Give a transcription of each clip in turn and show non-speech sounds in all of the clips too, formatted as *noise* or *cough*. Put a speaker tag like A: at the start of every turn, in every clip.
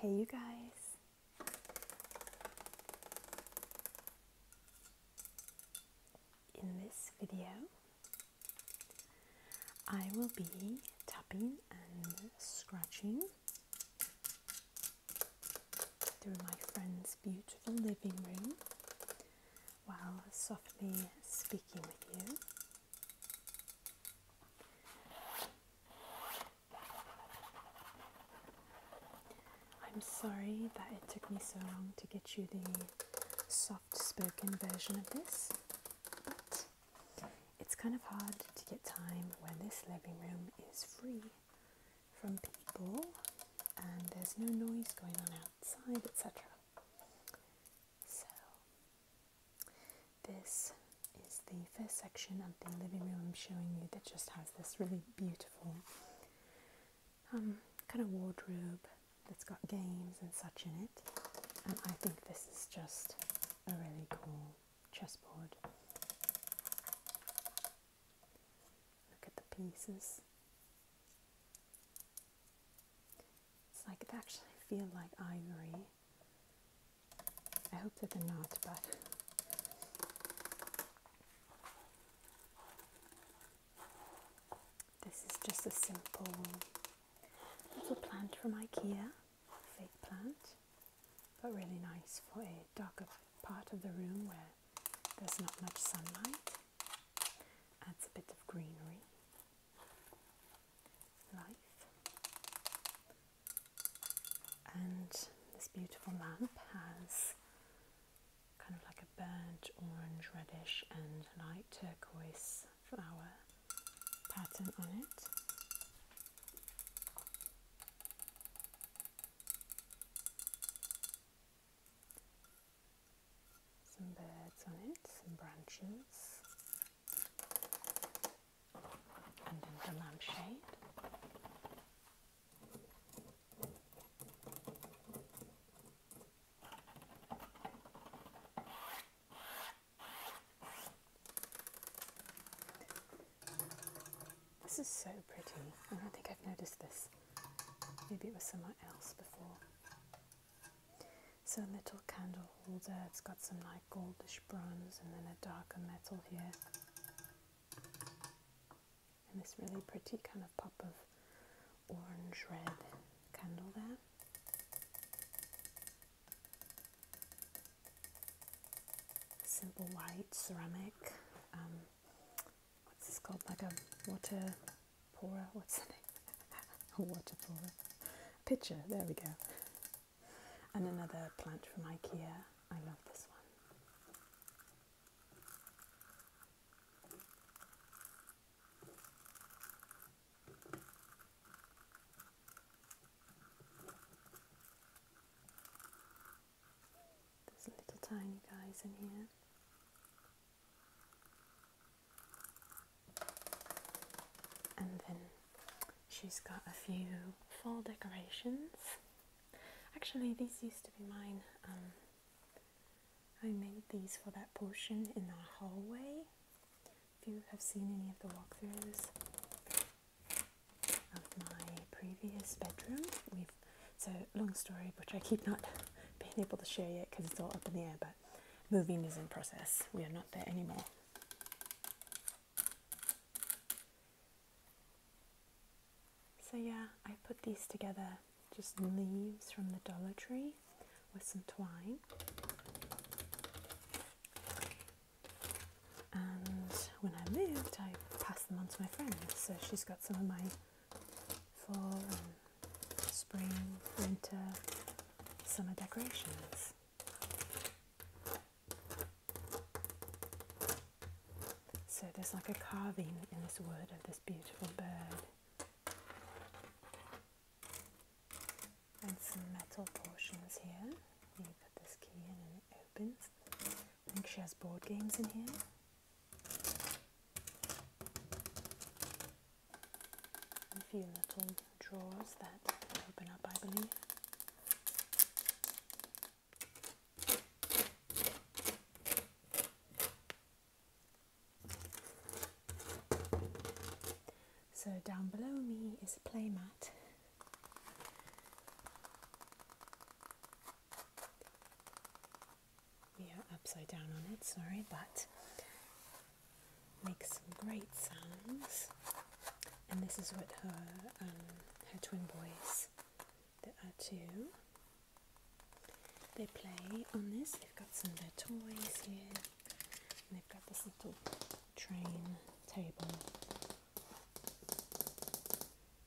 A: Hey, you guys. In this video, I will be tapping and scratching through my friend's beautiful living room while softly speaking with you. I'm sorry that it took me so long to get you the soft spoken version of this, but it's kind of hard to get time when this living room is free from people and there's no noise going on out outside, etc. So, this is the first section of the living room I'm showing you that just has this really beautiful um, kind of wardrobe that's got games and such in it. And I think this is just a really cool chessboard. Look at the pieces. It's like it actually feels like ivory. I hope that they're not, but. This is just a simple little plant from IKEA, fake plant, but really nice for a darker part of the room where there's not much sunlight adds a bit of greenery, life, and this beautiful lamp has kind of like a burnt orange, reddish, and light turquoise flower pattern on it. Some birds on it, some branches, and then the lampshade. This is so pretty. I don't think I've noticed this. Maybe it was somewhere else before. So, a little candle holder. It's got some like goldish bronze and then a darker metal here. And this really pretty kind of pop of orange red candle there. Simple white ceramic. Um, what's this called? Like a water pourer? What's the name? *laughs* a water pourer. Pitcher. There we go. And another plant from IKEA. I love this one. There's little tiny guys in here. And then she's got a few fall decorations. Actually, these used to be mine. Um, I made these for that portion in our hallway. If you have seen any of the walkthroughs of my previous bedroom, we've so long story, which I keep not being able to share yet because it's all up in the air. But moving is in process. We are not there anymore. So yeah, I put these together, just leaves from the Dollar Tree with some twine. And when I moved, I passed them on to my friend. So she's got some of my fall and spring, winter, summer decorations. So there's like a carving in this wood of this beautiful bird. And some metal portions here. You put this key in and it opens. I think she has board games in here. A few little drawers that open up, I believe. So down below me is a playmat yeah, upside down on it, sorry, but makes some great sounds. And this is what her um, her twin boys, there are two. They play on this. They've got some their toys here, they've got this little train table.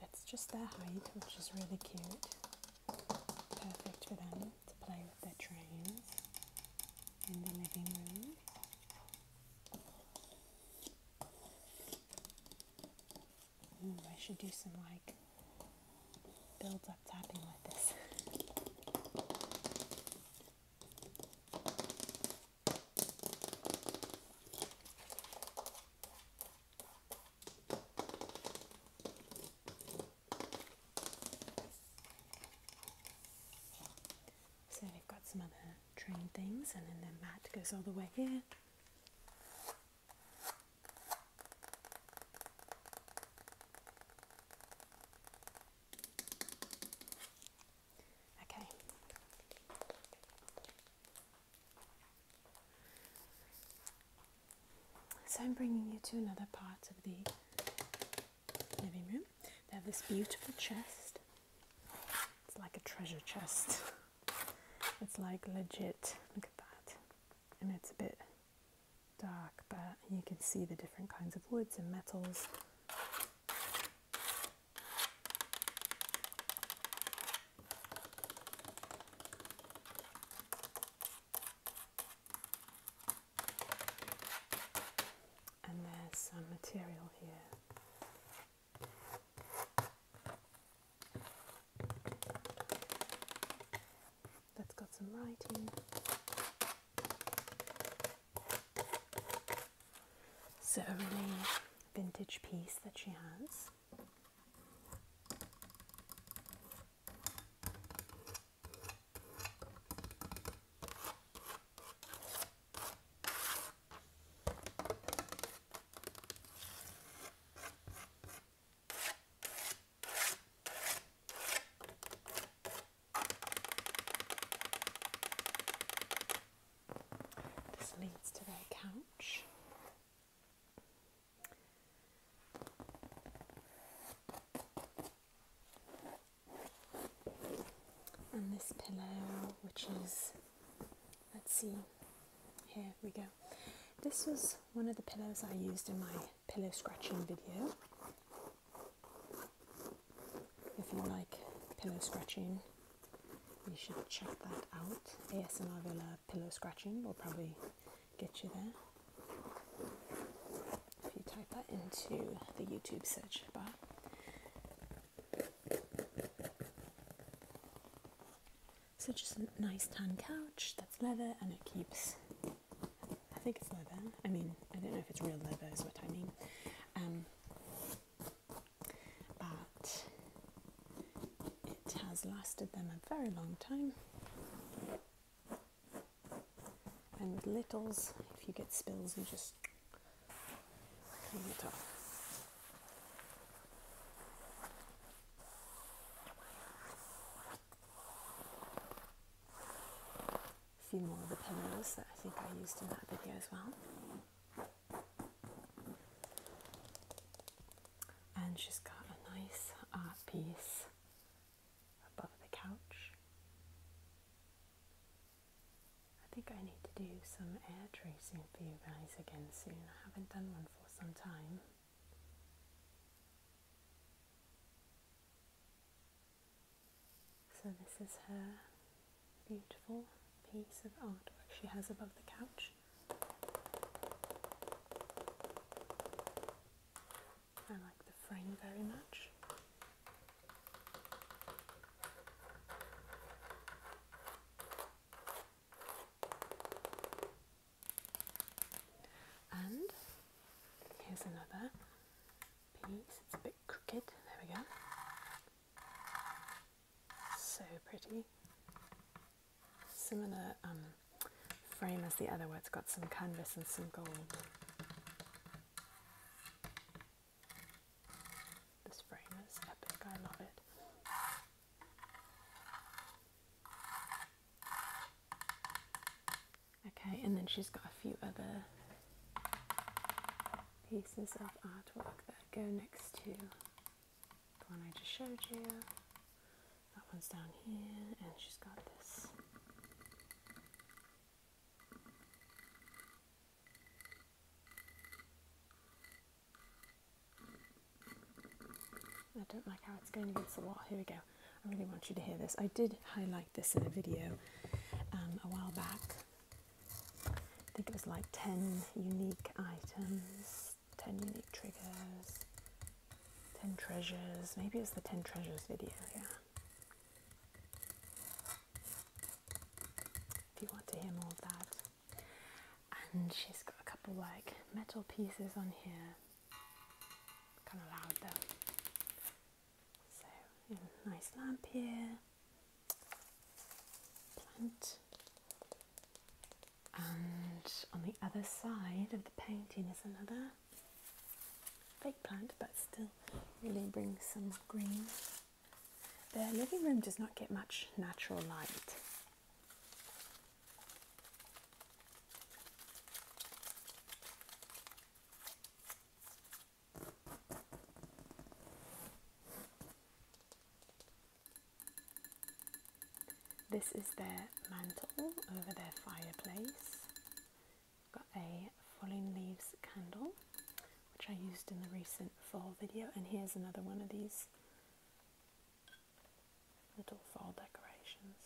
A: That's just their height, which is really cute perfect for them to play with their trains in the living room. I should do some like build up tapping like this. So we've got some other train things, and then the mat goes all the way here. Okay. So I'm bringing you to another part of the living room. They have this beautiful chest. It's like a treasure chest. *laughs* It's like legit. Look at that. And it's a bit dark, but you can see the different kinds of woods and metals. And there's some material here. That's got some writing. So a vintage piece that she has. This leads to their couch. And this pillow, which is, let's see, here we go. This was one of the pillows I used in my pillow scratching video. If you like pillow scratching, you should check that out. ASMR below pillow scratching will probably get you there. If you type that into the YouTube search bar. So just a nice tan couch that's leather and it keeps I think it's leather. I mean I don't know if it's real leather is what I mean. Um but it has lasted them a very long time. And with littles, if you get spills, you just clean it off. A few more of the pillows that I think I used in that video as well and she's got a nice uh, piece above the couch. I think I need to do some air tracing for you guys again soon. I haven't done one for some time. So this is her beautiful piece of artwork she has above the couch. I like the frame very much. And here's another piece, it's a bit crooked, there we go. So pretty similar um, frame as the other one. it's got some canvas and some gold. This frame is epic, I love it. Okay, and then she's got a few other pieces of artwork that go next to the one I just showed you. That one's down here, and she's got this. I don't like how it's going against the wall. Here we go. I really want you to hear this. I did highlight this in a video um, a while back. I think it was like 10 unique items 10 unique triggers, 10 treasures. Maybe it's the 10 treasures video, yeah. If you want to hear more of that. And she's got a couple like metal pieces on here. Kind of loud though. So, nice lamp here. Plant. And on the other side of the painting is another fake plant, but still really brings some green. The living room does not get much natural light. This is their mantle over their fireplace. Got a falling leaves candle, which I used in the recent fall video, and here's another one of these little fall decorations.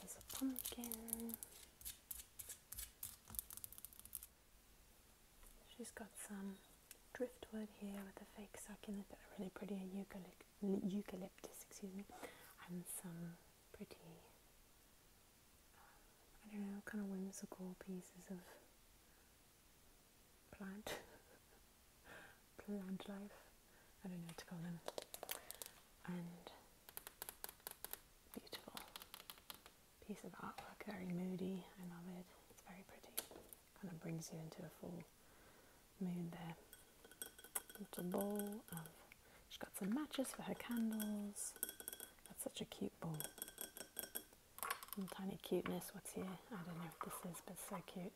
A: This is a pumpkin. She's got some driftwood here with a fake succulent a really pretty, eucalyptus, excuse me, and some pretty, um, I don't know, kind of whimsical pieces of plant, *laughs* plant life, I don't know what to call them, and beautiful piece of artwork, very moody, I love it, it's very pretty kind of brings you into a full mood there. Little bowl she's got some matches for her candles. That's such a cute bowl. Some tiny cuteness, what's here? I don't know what this is, but it's so cute.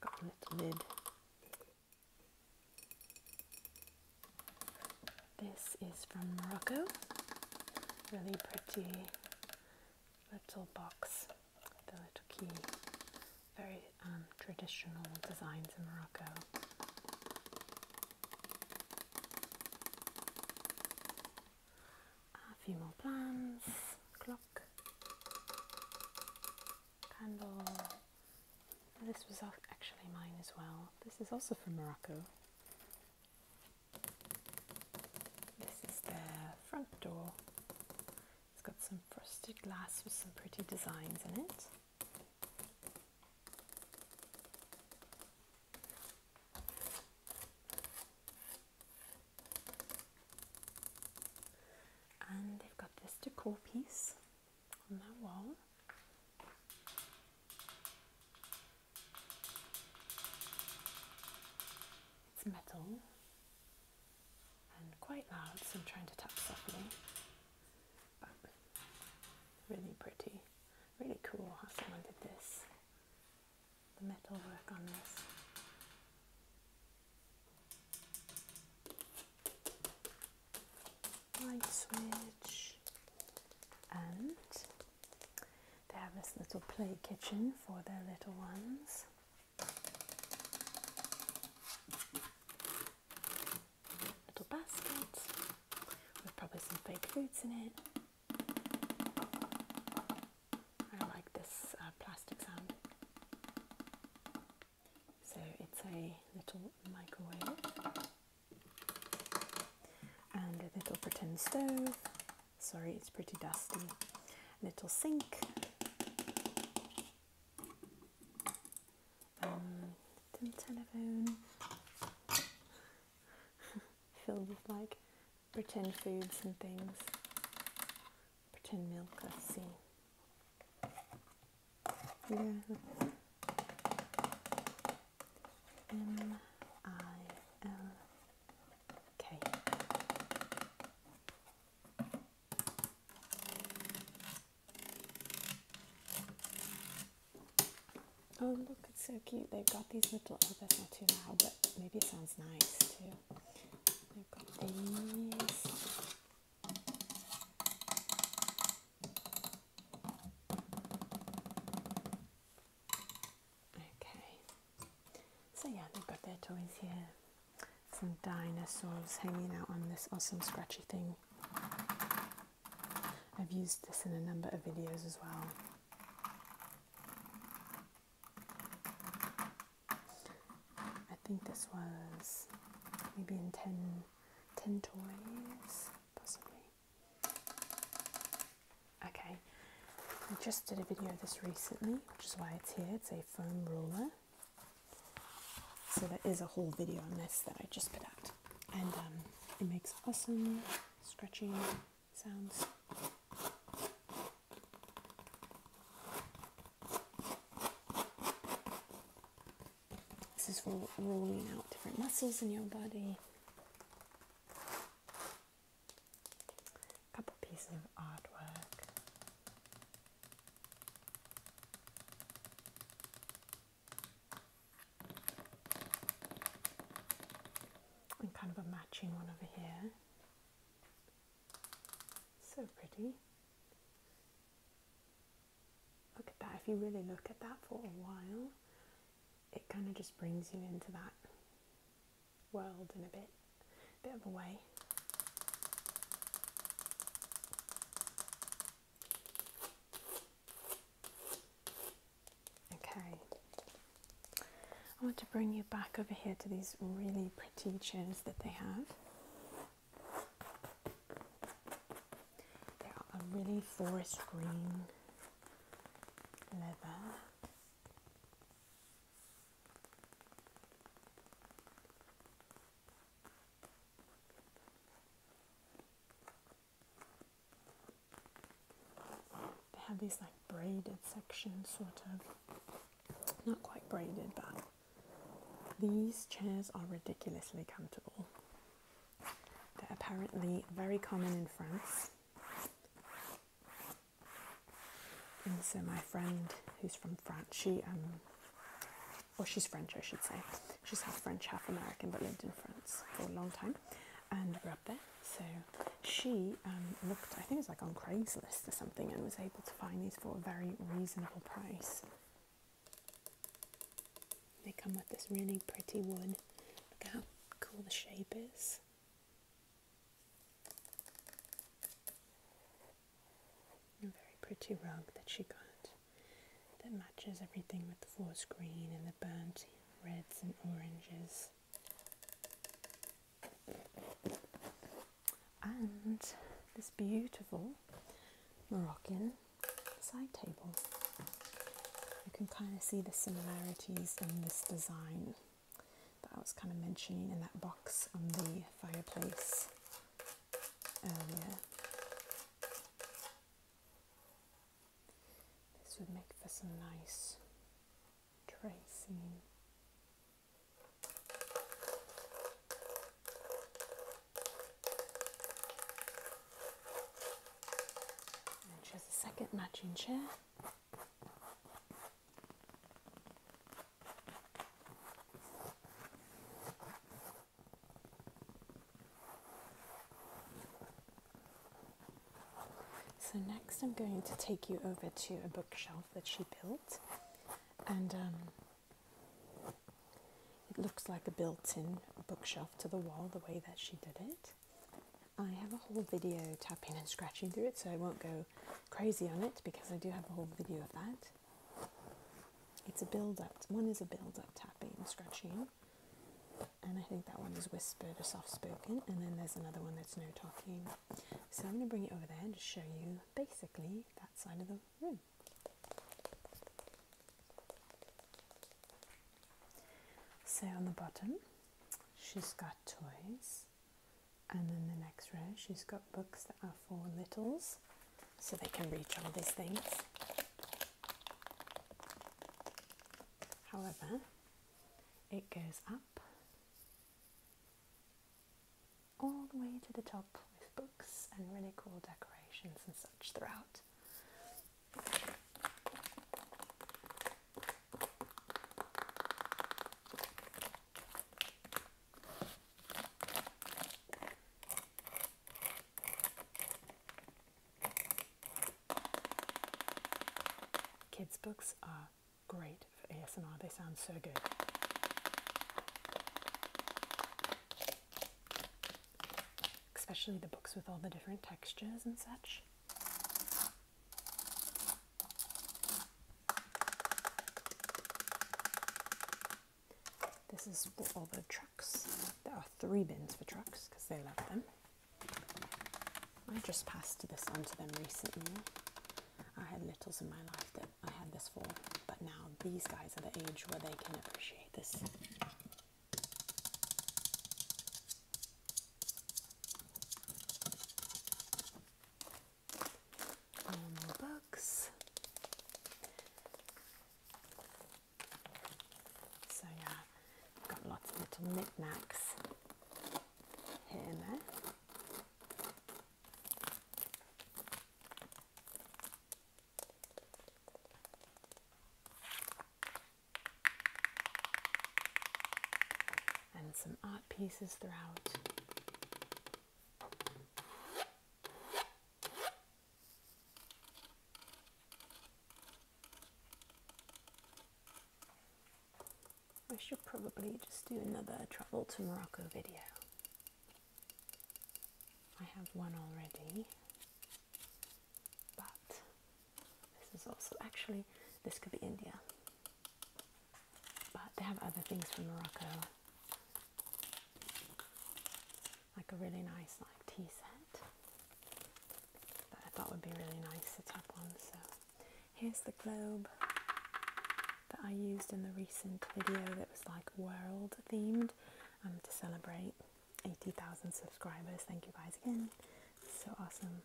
A: got a little lid. This is from Morocco. Really pretty little box, the little key. Very um, traditional designs in Morocco. A few more plans, clock, candle. This was actually mine as well. This is also from Morocco. This is the front door. It's got some frosted glass with some pretty designs in it. And they've got this decor piece on that wall. It's metal and quite loud, so I'm trying to tap softly. But really pretty, really cool how someone did this. The metal work on this. Light switch and they have this little play kitchen for their little ones. Little basket with probably some fake foods in it. I like this uh, plastic sound. So it's a little microwave and a little pretend stove Sorry, it's pretty dusty. Little sink. Um, telephone *laughs* filled with like pretend foods and things. Pretend milk, let's see. M I L Oh look, it's so cute. They've got these little, oh that's not too loud, but maybe it sounds nice too. They've got these. Okay, so yeah, they've got their toys here. Some dinosaurs hanging out on this awesome scratchy thing. I've used this in a number of videos as well. I think this was maybe in 10, 10 toys, possibly. Okay, I just did a video of this recently, which is why it's here. It's a foam ruler. So there is a whole video on this that I just put out. And um, it makes awesome stretching sounds. This is for rolling out different muscles in your body a couple pieces of artwork. And kind of a matching one over here. So pretty. Look at that, if you really look at that for a while, it kind of just brings you into that world in a bit, bit of a way. Okay, I want to bring you back over here to these really pretty chairs that they have. They are a really forest green they have these like braided sections, sort of. Not quite braided, but these chairs are ridiculously comfortable. They're apparently very common in France. And so my friend, who's from France, she um, or she's French, I should say. She's half French, half American, but lived in France for a long time and grew up there. So she um, looked, I think it was like on Craigslist or something, and was able to find these for a very reasonable price. They come with this really pretty wood. Look how cool the shape is. A very pretty rug that she got that matches everything with the forest green and the burnt reds and oranges. And this beautiful Moroccan side table you can kind of see the similarities in this design that I was kind of mentioning in that box on the fireplace earlier. This would make for some nice tracing. And she has a second matching chair. So, next, I'm going to take you over to a bookshelf that she built, and um, it looks like a built in bookshelf to the wall the way that she did it. I have a whole video tapping and scratching through it, so I won't go crazy on it because I do have a whole video of that. It's a build up, one is a build up tapping and scratching, and I think that one is whispered or soft spoken, and then there's another one that's no talking. So I'm going to bring it over there and just show you basically that side of the room. So on the bottom, she's got toys. And then the next row, she's got books that are for littles, so they can reach all these things. However, it goes up all the way to the top with books and really cool decorations and such throughout. Kids' books are great for ASMR, they sound so good. Especially the books with all the different textures and such. This is for all the trucks. There are three bins for trucks because they love them. I just passed this on to them recently. I had littles in my life that I had this for, but now these guys are the age where they can appreciate this. Normal books. So yeah, I've got lots of little knickknacks here and there and some art pieces throughout. I should probably just do another travel to Morocco video. I have one already, but this is also actually this could be India, but they have other things from Morocco, like a really nice like tea set that I thought would be really nice to tap one. So here's the globe that I used in the recent video that was like world themed um, to celebrate 80,000 subscribers. Thank you guys again. so awesome.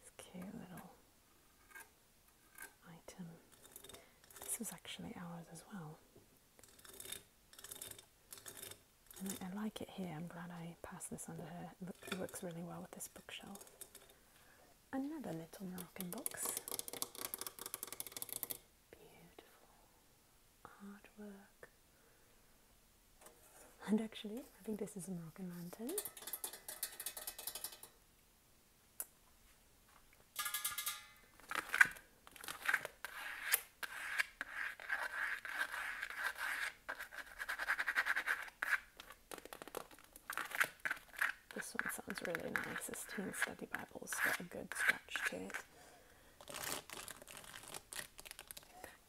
A: This cute little item. This was actually ours as well. I, like it here. I'm glad I passed this under her. It, it works really well with this bookshelf. Another little Moroccan box. Beautiful artwork. And actually, I think this is a Moroccan lantern. This one sounds really nice. This Teen Study Bible's got a good scratch to it.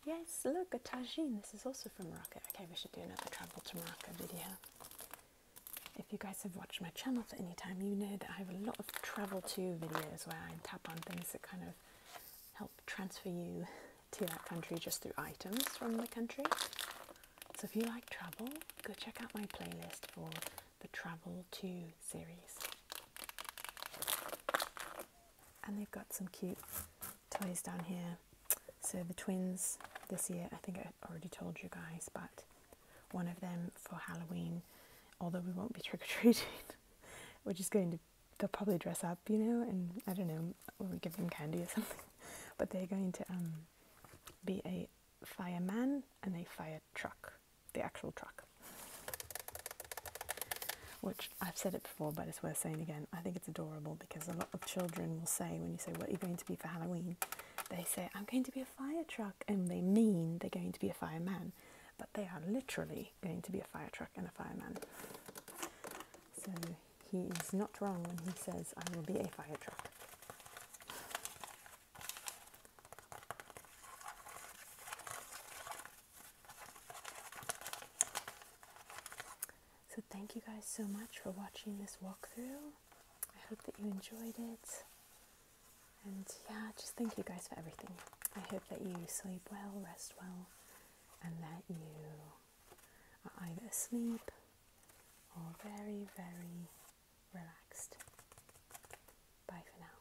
A: Yes, look, a tagine. This is also from Morocco. Okay, we should do another travel to Morocco video. If you guys have watched my channel for any time, you know that I have a lot of travel to videos where I tap on things that kind of help transfer you to that country just through items from the country. So if you like travel, go check out my playlist for the Travel to series and they've got some cute toys down here. So the twins this year, I think I already told you guys, but one of them for Halloween, although we won't be *laughs* trick or treating, we're just going to they'll probably dress up, you know, and I don't know, we'll give them candy or *laughs* something. But they're going to um, be a fireman and a fire truck the actual truck. Which I've said it before, but it's worth saying again. I think it's adorable because a lot of children will say, when you say, What are you going to be for Halloween? They say, I'm going to be a fire truck. And they mean they're going to be a fireman. But they are literally going to be a fire truck and a fireman. So he is not wrong when he says, I will be a fire truck. So, thank you guys so much for watching this walkthrough. I hope that you enjoyed it. And yeah, just thank you guys for everything. I hope that you sleep well, rest well, and that you are either asleep or very, very relaxed. Bye for now.